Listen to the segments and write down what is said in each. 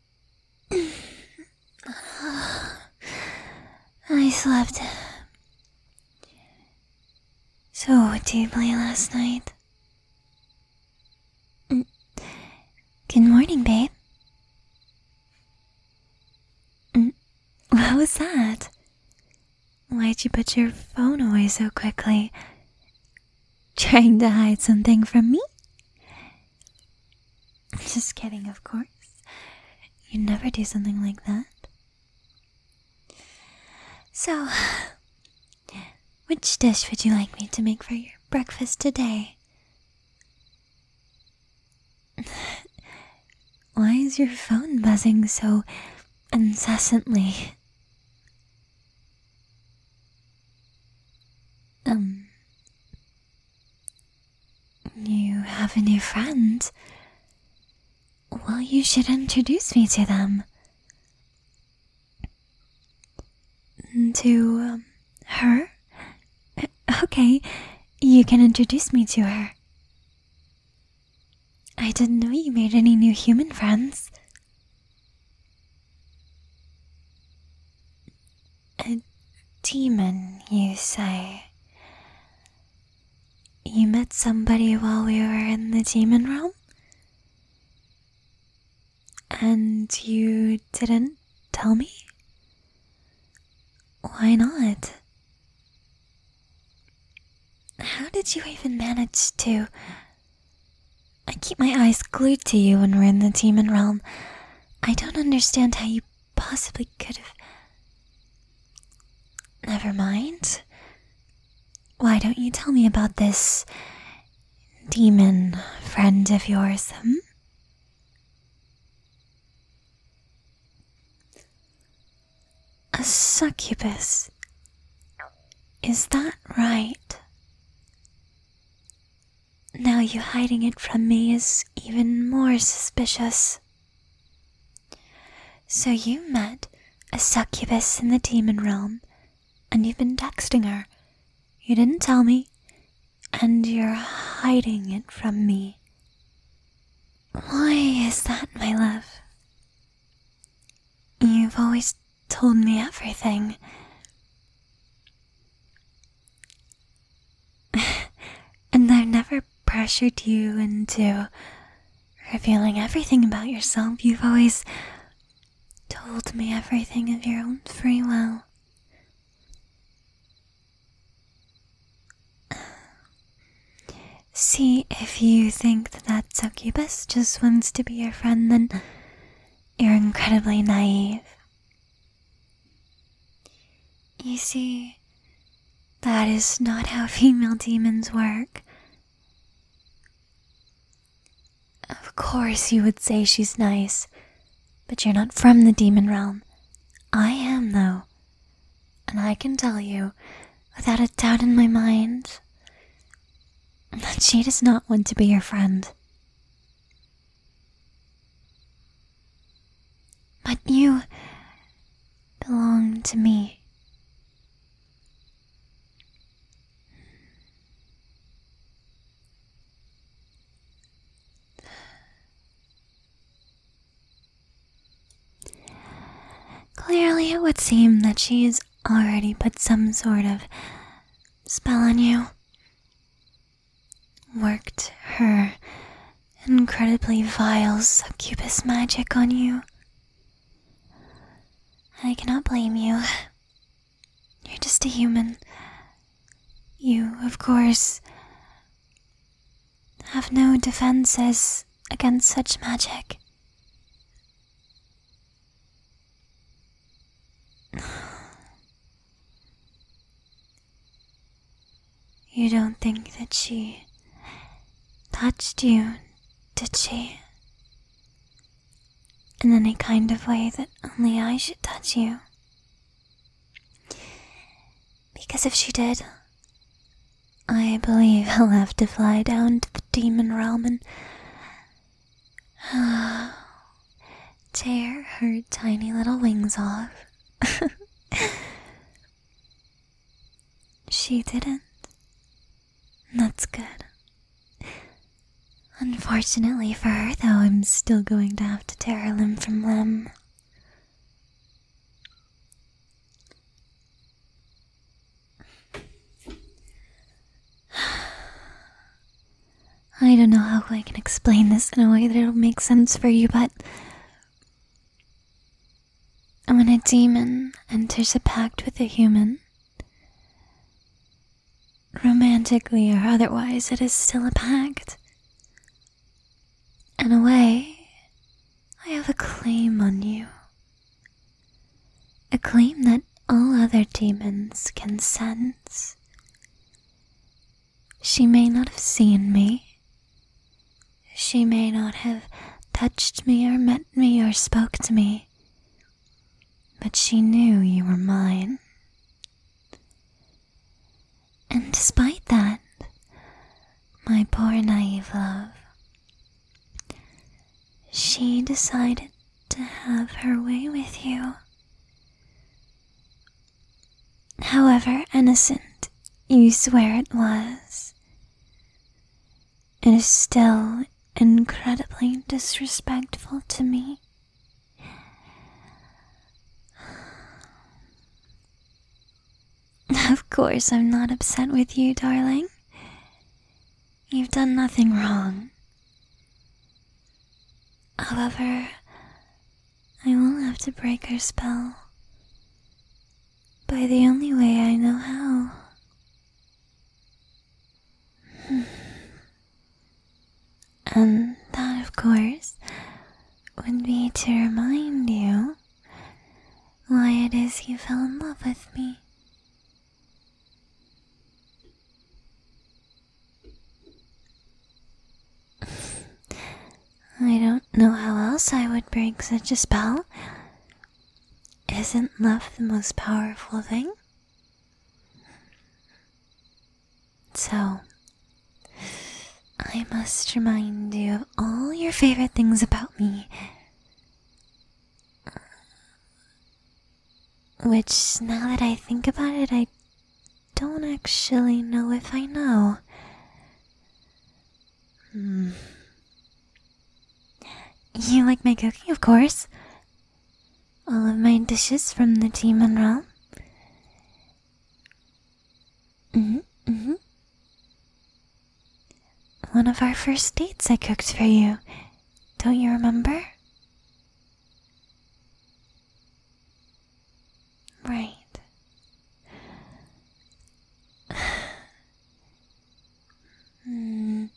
I slept so deeply last night. Mm. Good morning, babe. Mm. What was that? Why'd you put your phone away so quickly? Trying to hide something from me? Just kidding, of course. You never do something like that. So, which dish would you like me to make for your breakfast today? Why is your phone buzzing so incessantly? Um. You have a new friend? Well, you should introduce me to them. To um, her? Okay, you can introduce me to her. I didn't know you made any new human friends. A demon, you say? You met somebody while we were in the demon realm? And you didn't tell me? Why not? How did you even manage to I keep my eyes glued to you when we're in the demon realm. I don't understand how you possibly could have. Never mind. Why don't you tell me about this demon friend of yours, hmm? A succubus. Is that right? Now you hiding it from me is even more suspicious. So you met a succubus in the demon realm, and you've been texting her. You didn't tell me, and you're hiding it from me. Why is that, my love? You've always told me everything. and I've never pressured you into revealing everything about yourself. You've always told me everything of your own free will. See, if you think that that succubus just wants to be your friend, then you're incredibly naive. You see, that is not how female demons work. Of course, you would say she's nice, but you're not from the demon realm. I am, though. And I can tell you, without a doubt in my mind, that she does not want to be your friend. But you belong to me. Clearly, it would seem that she's already put some sort of spell on you worked her incredibly vile succubus magic on you. I cannot blame you. You're just a human. You, of course, have no defenses against such magic. You don't think that she touched you, did she? In any kind of way that only I should touch you. Because if she did, I believe I'll have to fly down to the demon realm and Tear her tiny little wings off. she didn't. That's good. Unfortunately for her, though, I'm still going to have to tear a limb from limb. I don't know how I can explain this in a way that'll make sense for you, but when a demon enters a pact with a human, romantically or otherwise, it is still a pact. In a way, I have a claim on you a claim that all other demons can sense. She may not have seen me. She may not have touched me or met me or spoke to me. But she knew you were mine. And despite that, my poor naive love, she decided to have her way with you. However innocent you swear it was, it is still incredibly disrespectful to me. Of course, I'm not upset with you, darling. You've done nothing wrong. However, I will have to break her spell. By the only way I know how. Hmm. and that, of course, would be to remind you why it is you fell in love with me. I don't know how else I would break such a spell. Isn't love the most powerful thing? So, I must remind you of all your favorite things about me. Which, now that I think about it, I don't actually know if I know. Hmm. You like my cooking, of course. All of my dishes from the demon monral. hmm. hmm. One of our first dates I cooked for you. Don't you remember? Right. mm.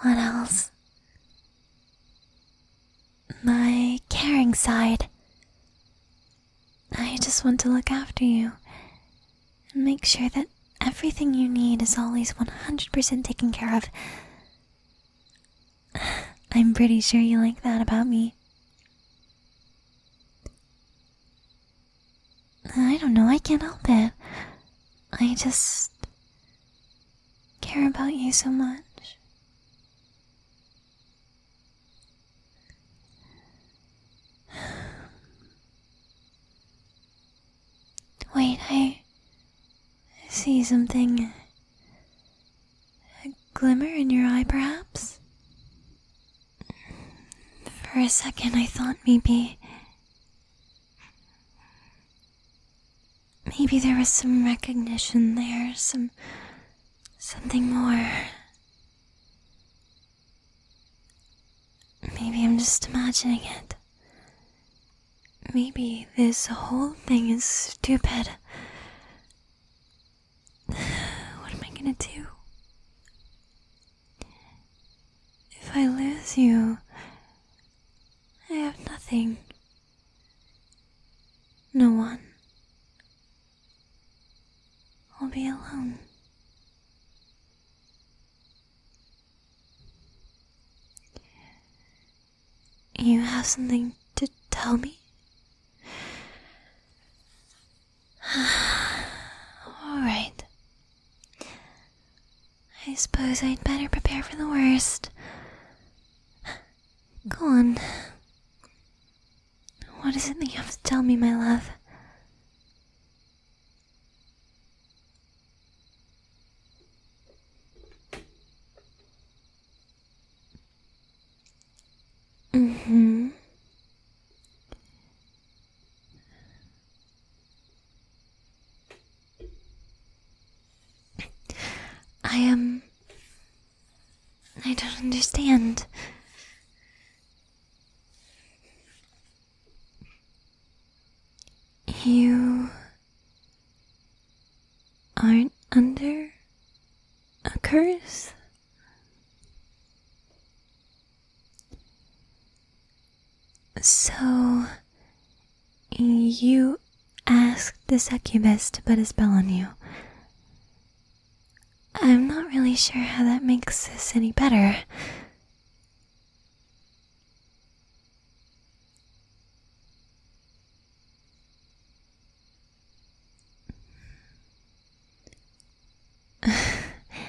What else? My caring side. I just want to look after you and make sure that everything you need is always 100% taken care of. I'm pretty sure you like that about me. I don't know, I can't help it. I just care about you so much. Wait, I see something. A glimmer in your eye, perhaps? For a second, I thought maybe. Maybe there was some recognition there, some. something more. Maybe I'm just imagining it. Maybe this whole thing is stupid. What am I gonna do? If I lose you, I have nothing. No one. I'll be alone. You have something to tell me? Alright. I suppose I'd better prepare for the worst. Go on. What is it that you have to tell me, my love? Mm-hmm. I am. I don't understand. You aren't under a curse? So, you asked this succubus to put a spell on you. I'm not really sure how that makes this any better.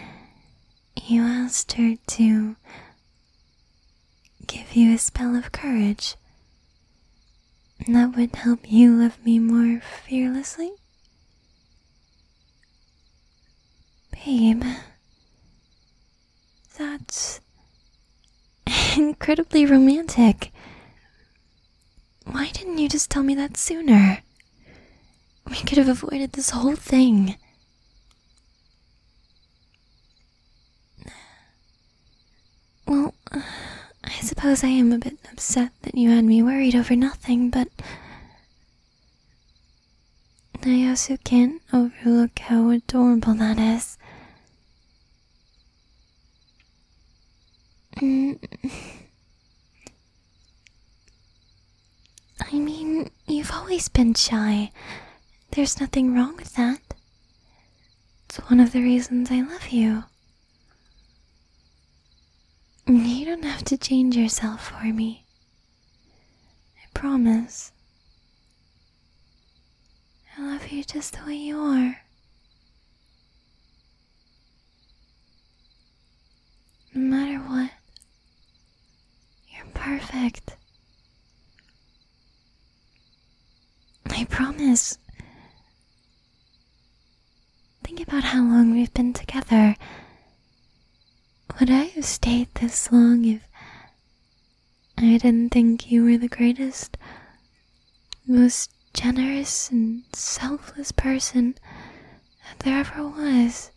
you asked her to give you a spell of courage that would help you love me more fearlessly? Babe. That's incredibly romantic. Why didn't you just tell me that sooner? We could have avoided this whole thing. Well, I suppose I am a bit upset that you had me worried over nothing, but I also can't overlook how adorable that is. Mm. I mean, you've always been shy. There's nothing wrong with that. It's one of the reasons I love you. You don't have to change yourself for me. I promise. I love you just the way you are. No matter what, you're perfect. I promise. Think about how long we've been together would I have stayed this long if I didn't think you were the greatest, most generous and selfless person that there ever was?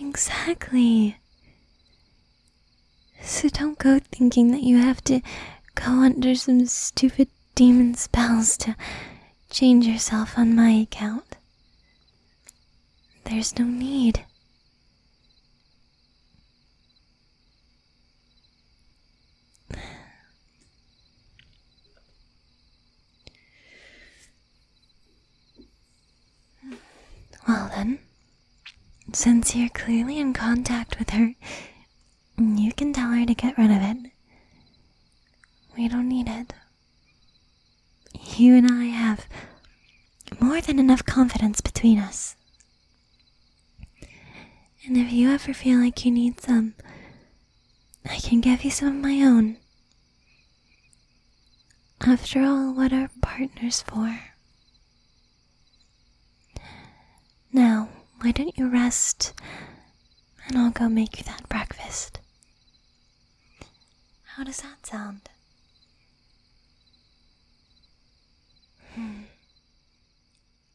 Exactly. So don't go thinking that you have to go under some stupid demon spells to change yourself on my account. There's no need. Well, then, since you're clearly in contact with her, you can tell her to get rid of it. We don't need it. You and I have more than enough confidence between us. And if you ever feel like you need some, I can give you some of my own. After all, what are partners for? Now, why don't you rest and I'll go make you that breakfast. How does that sound? Hmm.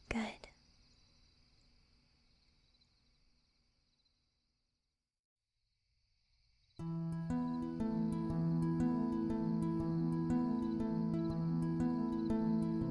Good.